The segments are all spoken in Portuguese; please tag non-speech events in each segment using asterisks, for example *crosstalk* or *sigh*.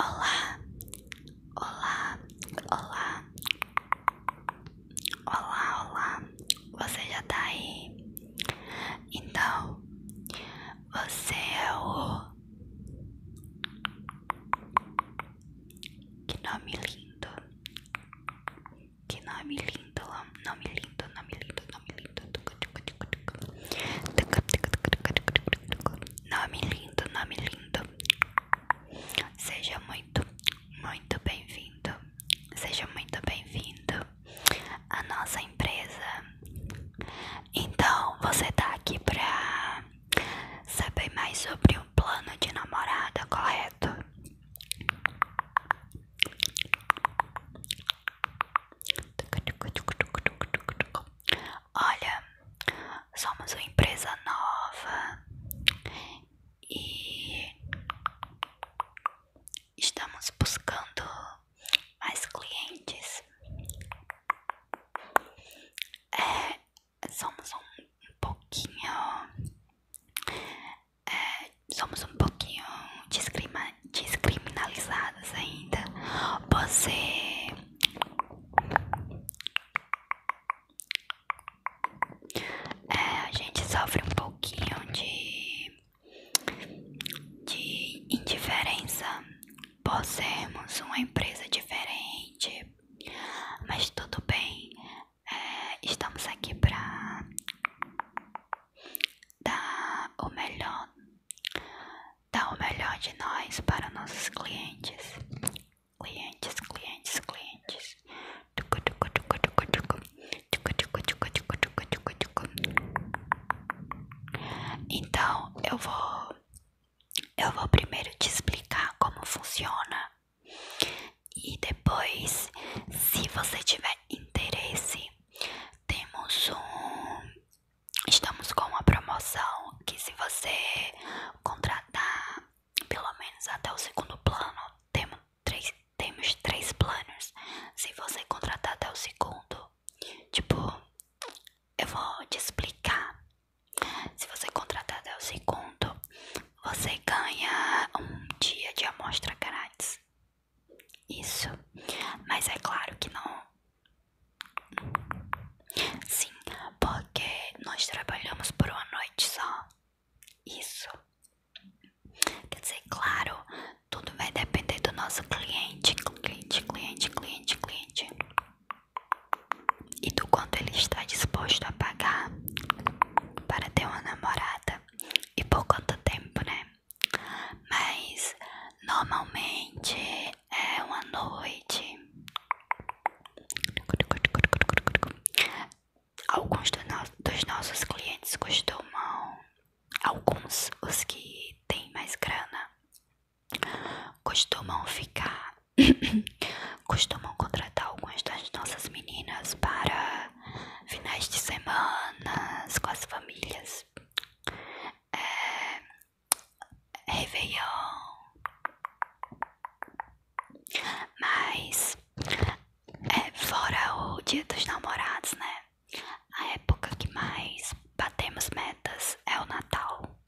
Olá, olá, olá, olá, olá, você já tá aí? Então, você é o. Que nome lindo, que nome lindo, nome lindo, nome lindo, nome lindo. Nome lindo, nome lindo. Seja muito, muito bem-vindo. Seja muito bem-vindo à nossa empresa. Então, você tá aqui pra saber mais sobre o plano de namorada, correto? Olha, somos uma empresa nova e estamos buscando mais clientes. É, somos um, pouquinho. É, somos um pouquinho de discrima, descriminalizadas ainda. Você é, a gente sofre um pouquinho de, de indiferença por sermos uma empresa diferente, mas tudo bem, é, estamos aqui para dar o melhor dar o melhor de nós para nossos clientes. Clientes, clientes, clientes. Então, eu vou eu vou primeiro te explicar como funciona. E depois, se você tiver interesse, temos um Estamos com uma promoção que se você contratar pelo menos até o segundo plano, temos três, temos três planos. Se você contratar até o segundo, tipo, eu vou te explicar. Se você contratar até o segundo, você ganha um dia de amostra grátis. Isso. Mas é claro que não. Sim, porque nós trabalhamos por uma noite só. Isso. Quer dizer, claro, tudo vai depender do nosso cliente, cliente, cliente, cliente, cliente. E do quanto ele está disposto a pagar para ter uma namorada. E por quanto tempo, né? mas normalmente é uma noite. Alguns dos nossos clientes costumam, alguns, os que têm mais grana, costumam ficar, *coughs* costumam contratar algumas das nossas meninas para finais de semana com as famílias é, Réveillon, mas é, fora o Dia dos Namorados, né? A época que mais batemos metas é o Natal.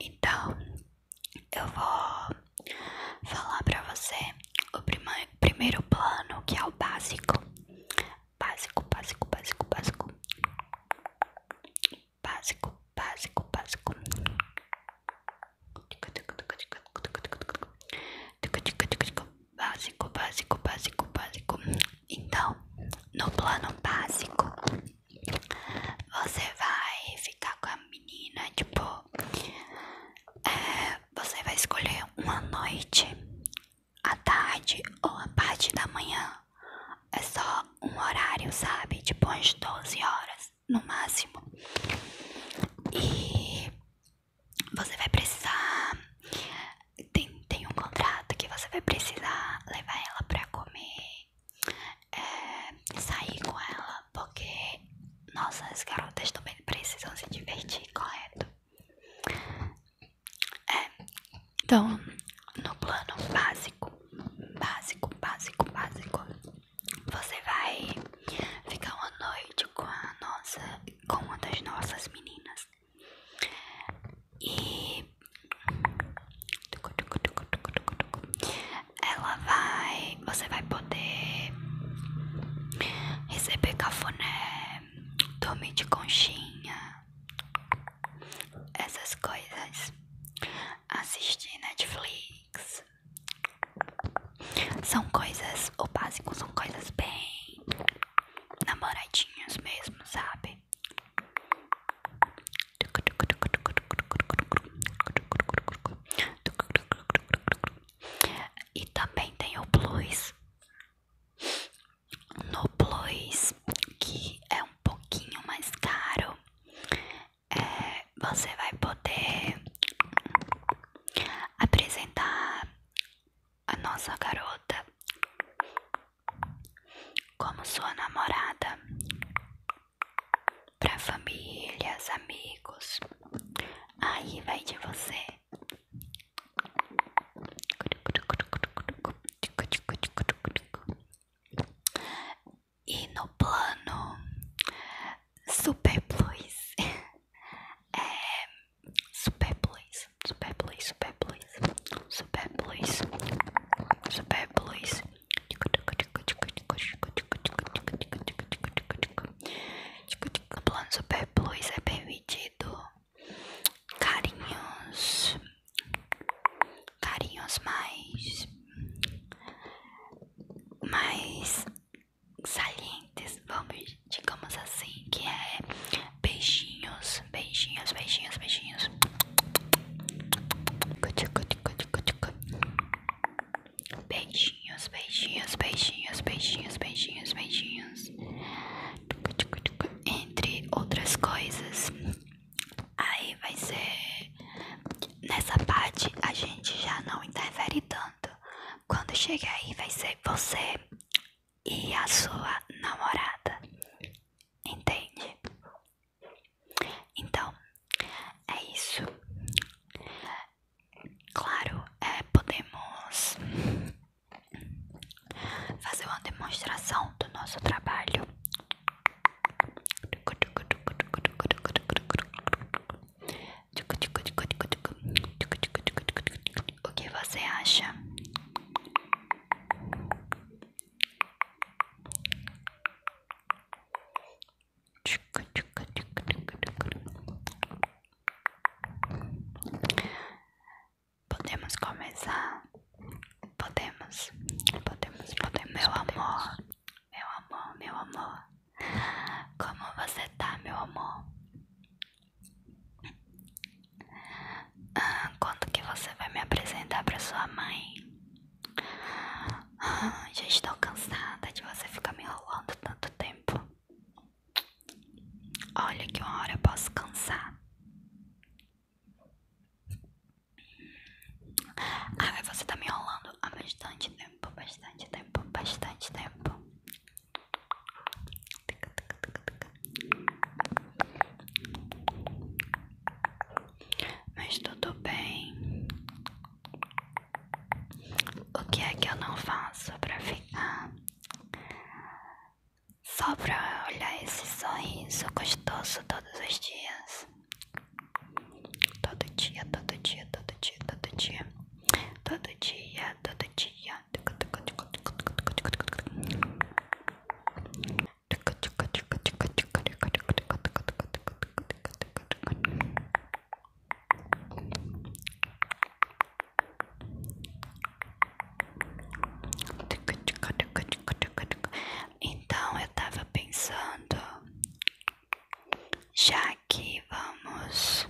Então, eu vou falar para você o prima primeiro plano, que é o básico. Básico, básico, básico, básico. Básico, básico, básico. Básico, básico, básico, básico. Então, no plano básico, você vai ficar com a menina, tipo, é, você vai escolher uma noite, a tarde ou a parte da manhã. É só um horário, sabe? Tipo, umas 12 horas no máximo. E você vai precisar. Tem, tem um contrato que você vai precisar levar ela pra comer, é, sair com ela, porque nossas garotas também precisam se divertir, correto? É, então, no plano básico, básico, básico, básico, você vai ficar uma noite com a nossa com uma das nossas meninas. E ela vai. Você vai poder receber cafuné, dormir de conchinha, essas coisas, assistir Netflix, são coisas, o básico são coisas bem namoradinhas mesmo, sabe? E também tem o plus. No plus, que é um pouquinho mais caro, é, você vai poder apresentar a nossa garota como sua namorada para famílias, amigos. Aí vai de você. E no plano super plus. É, super plus, super plus, super plus, super plus, super plus. O plano super plus é permitido carinhos, carinhos mais, mais salientes, vamos, digamos assim, que é beijinhos, beijinhos, beijinhos, beijinhos. Beijinhos, beijinhos, beijinhos, beijinhos, beijinhos, beijinhos. Entre outras coisas. Aí vai ser. Nessa parte a gente já não interfere tanto. Quando chegar aí vai ser você e a sua namorada. Entende? Então, é isso. Claro, é, podemos fazer uma demonstração do nosso trabalho. O que você acha? Podemos começar? Podemos, podemos, podemos, meu amor, meu amor, meu amor. Como você tá, meu amor? Ah, quando que você vai me apresentar para sua mãe? Ah, já estou cansada de você ficar me enrolando tanto tempo. Olha que uma hora eu posso cansar. Ah, você tá me enrolando há bastante tempo tempo, bastante tempo, bastante tempo. Mas tudo bem. O que é que eu não faço pra ficar? Só pra olhar esse sorriso gostoso todos os dias. Todo dia, todo dia, todo dia, todo dia. Todo dia, todo dia. Então eu tava pensando já que vamos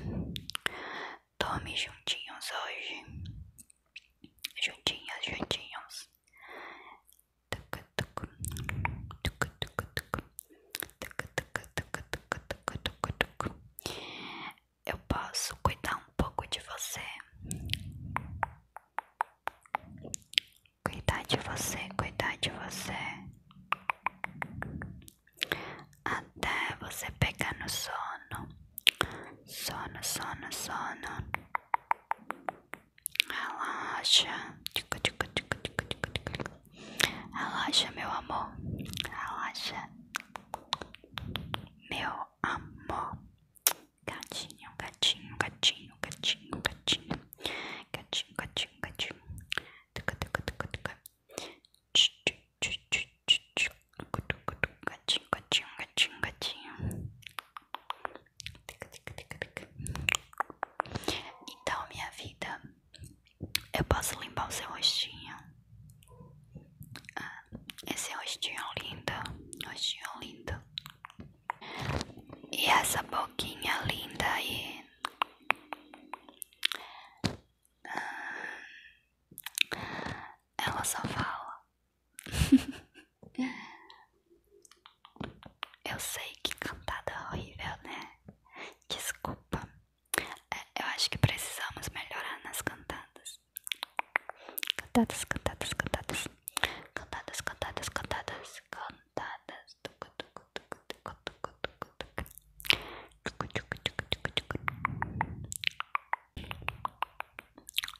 dormir juntinhos hoje, juntinhos juntinhos. Eu posso cuidar um pouco de você, cuidar de você, cuidar de você até você pegar no sono, sono, sono, sono, relaxa, relaxa, meu amor, relaxa, meu amor, gatinho, gatinho, gatinho, gatinho, gatinho, gatinho, gatinho, gatinho, tuca, tuca, tuca, tuca. Gatinho, gatinho, gatinho, gatinho. Então, minha vida, eu posso limpar o seu rostinho. Ah, esse rostinho lindo, rostinho lindo. E essa boquinha linda aí. Ah, ela só fala. Eu sei que cantada horrível, né? Desculpa. É, eu acho que precisamos melhorar nas cantadas. Cantadas, cantadas, cantadas. Cantadas, cantadas, cantadas, cantadas. Tucu, tucu,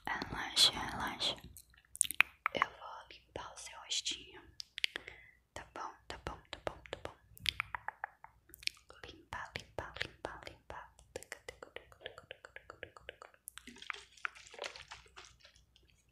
Relaxa, relaxa. Eu vou limpar o seu rostinho. Tá bom, tá bom, tá bom, tá bom. Limpar, limpar, limpar, limpar.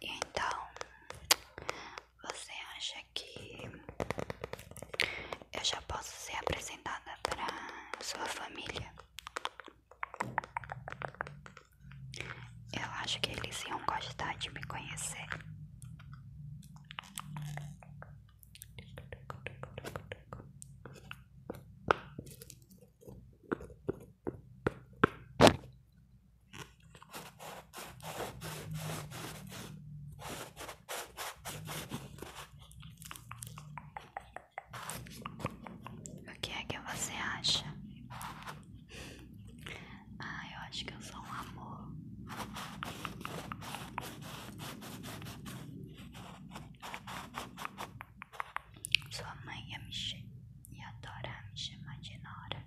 então, você acha que eu já posso ser apresentada para sua família? Eu acho que eles iam gostar de me conhecer. O que é que você acha? Ah, eu acho que eu sou um amor. Sua mãe ia me chamar e adorar me chamar de Nora.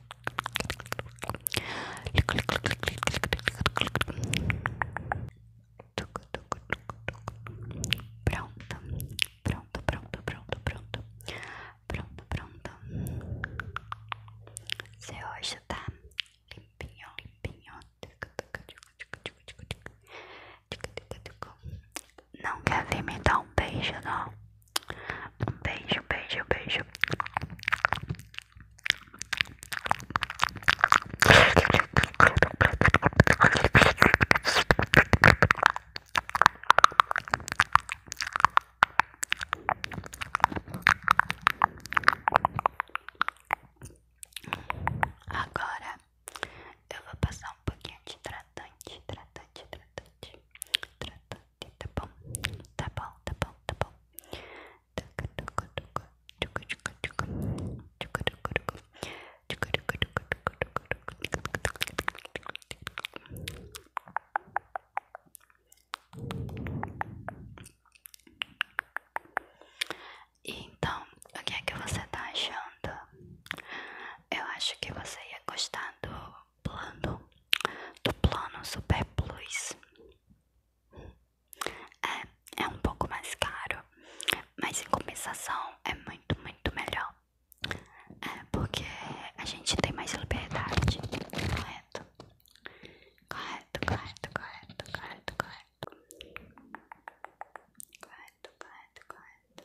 Pronto, pronto, pronto, pronto, pronto, pronto, pronto. Seu hoje tá limpinho, limpinho. Não quer vir me dar um beijo, não? Um beijo, beijo, beijo. Agora eu vou passar um pouquinho de hidratante, hidratante, hidratante, hidratante. Tá bom, tá bom, tá bom, tá bom. E então, o que é que você tá achando? Eu acho que você ia gostar do plano do plano Super Plus. É, é, um pouco mais caro, mas em compensação é muito, muito melhor. É porque a gente tem mais liberdade, Correto, correto, correto, correto, correto. Correto, correto, correto.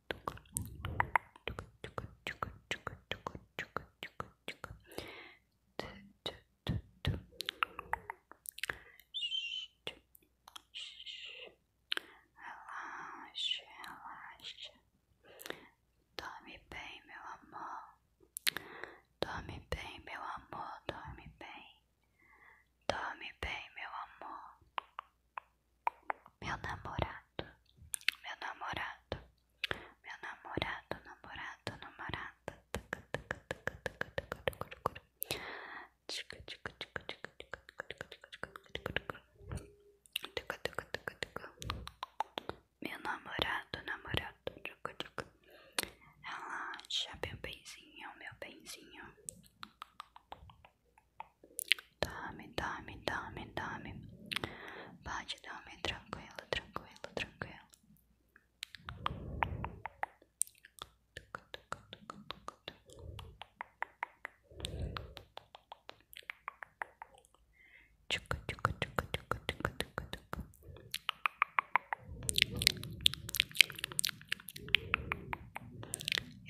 Relaxa, relaxa. Dorme bem, meu amor. Dorme bem, meu amor. Dorme bem. Dorme bem, meu amor. Meu namorado, meu namorado, meu namorado, namorado, namorado. Meu namorado, namorado. Relaxa, meu benzinho, meu benzinho dame, dame, dame, dame, bate, dame, tranquilo, tranquilo, tranquilo.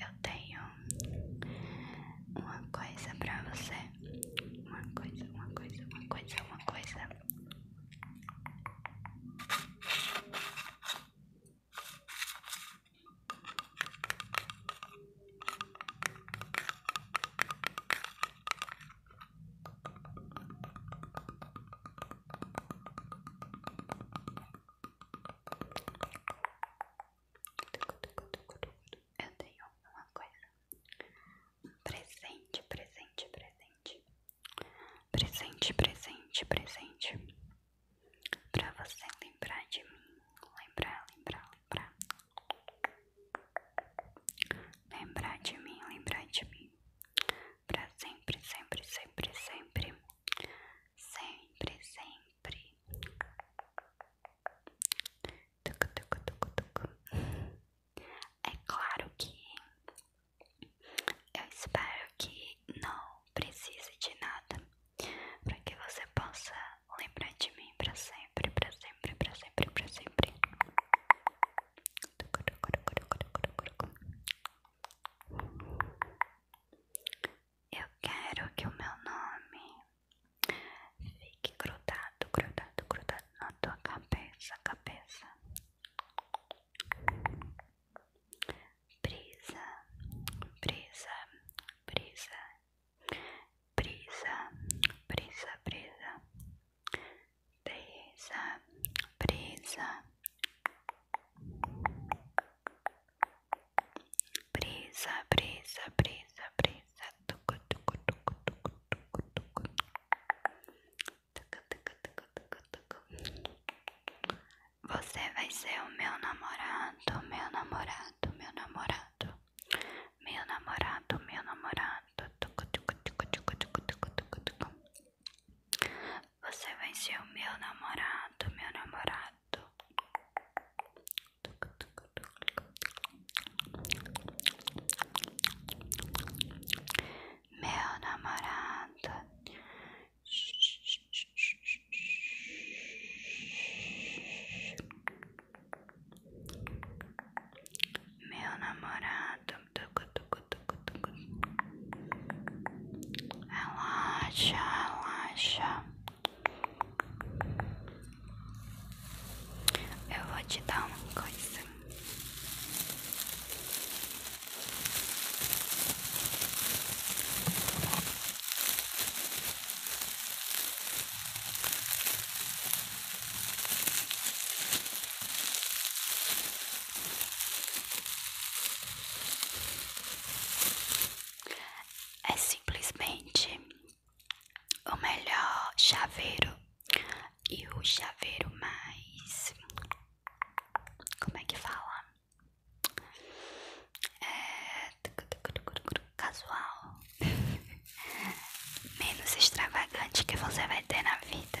Eu tenho uma coisa pra você. Uma coisa, uma coisa, uma coisa, uma coisa eu tenho uma coisa. presente, presente, presente. Presente, presente, presente. para você lembrar de mim. Lembrar, lembrar, lembrar. Lembrar de mim, lembrar de mim. para sempre, sempre, sempre, sempre. Sempre, sempre. É claro que eu espero que não precise de nada para que você possa lembrar de mim para sempre, para sempre, para sempre, para sempre. Eu quero que o meu nome Fique grudado, grudado, grudado na tua cabeça, cabeça. Brisa, brisa, brisa, brisa, brisa, brisa, brisa, brisa. Brisa, brisa, brisa, brisa. Tucu, tucu, tucu, tucu, tucu, tucu. Tucu, tucu, tucu, tucu, tucu. Você vai ser o meu namorado, meu namorado, meu namorado. Meu namorado, meu namorado. Tucu, tucu, tucu, tucu, tucu, tucu, tucu, tucu. Você vai ser o meu namorado, meu namorado. Meu namorado Meu namorado Relaxa, relaxa eu vou te dar uma coisa é simplesmente o melhor chaveiro e o chaveiro mais. Como é que fala? É... Casual, *laughs* menos extravagante que você vai ter na vida.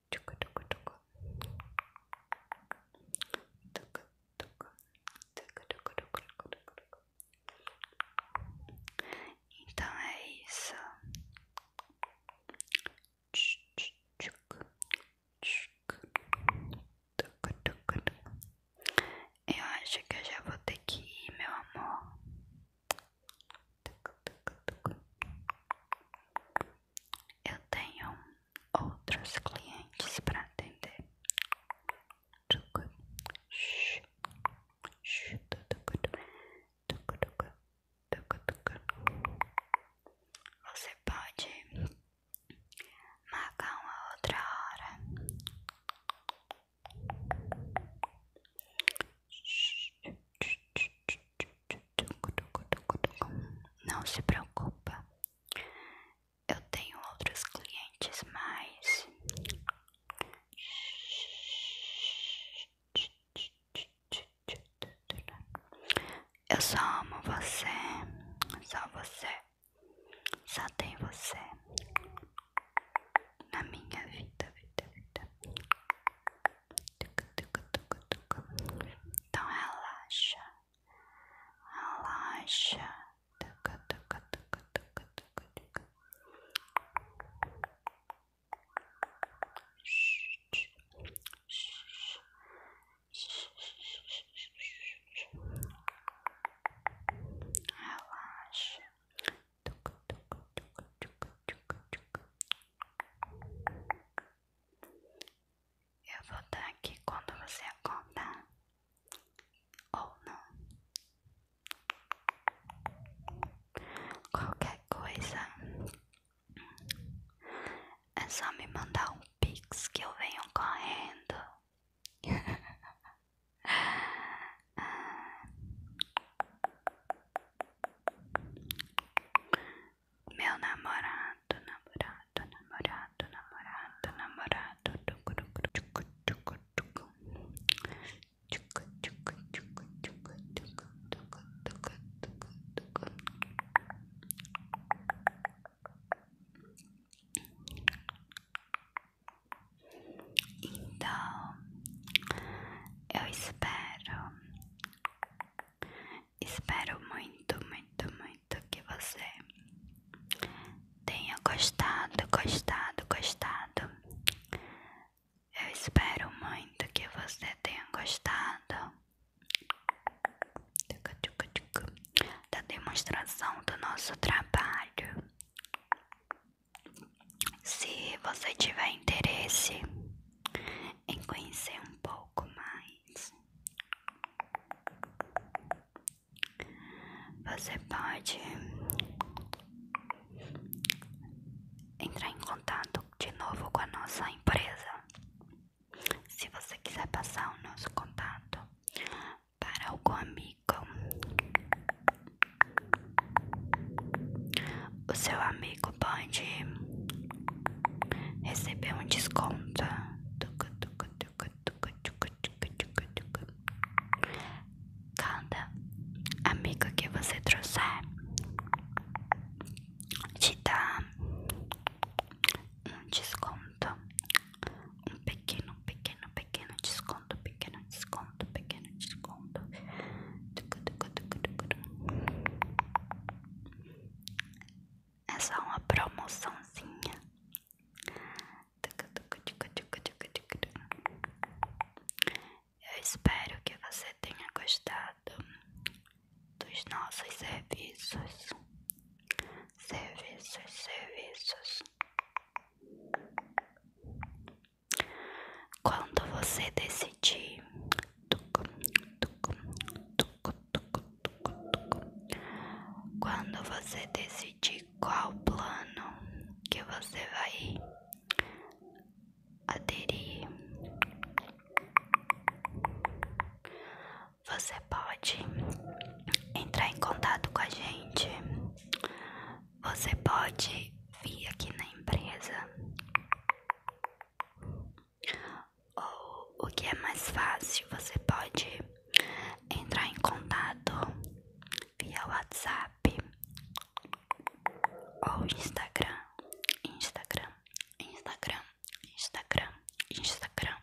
Tucu, tucu, tucu. Tucu, tucu. Tucu, tucu, tucu, tucu, tucu, tucu. Então é isso. Eu acho que eu já vou ter que ir, meu amor. Eu tenho outros clientes para atender. Você pode marcar uma outra hora. Não se preocupa, eu tenho outros clientes, mas eu só amo você, só você, só tem você na minha vida, vida, vida. Então relaxa, relaxa. Relaxa. Eu vou estar aqui quando você acordar ou não. Qualquer coisa é só me mandar um pix que eu venho correndo. *laughs* Meu namorado, namorado, namorado, namorado, namorado. Então, eu espero, espero muito, muito, muito que você tenha gostado, gostado, gostado. Eu espero muito que você tenha gostado da demonstração do nosso trabalho. Se você tiver interesse em conhecer um pouco mais, você pode entrar em contato de novo com a nossa empresa. Se você quiser passar o nosso contato para algum amigo o seu amigo pode receber um desconto. Cada amigo que você trouxer te dá um desconto. Um pequeno, pequeno, pequeno desconto, pequeno desconto desconto, pequeno desconto. É só uma promoçãozinha. Eu espero que você tenha gostado dos nossos serviços. Serviços, serviços. Quando você decidir Quando você decidir qual plano que você vai aderir Você pode entrar em contato com a gente você pode vir aqui na empresa. Ou o que é mais fácil, você pode entrar em contato via WhatsApp ou Instagram. Instagram, Instagram, Instagram, Instagram.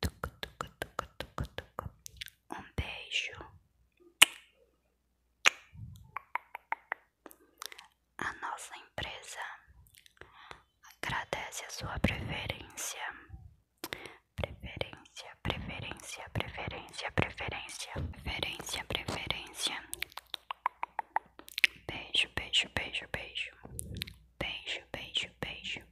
Tucu, tucu, tucu, tucu, tucu. Um beijo. A nossa empresa agradece a sua preferência. Preferência, preferência, preferência, preferência, preferência, preferência. Beijo, beijo, beijo, beijo. Beijo, beijo, beijo.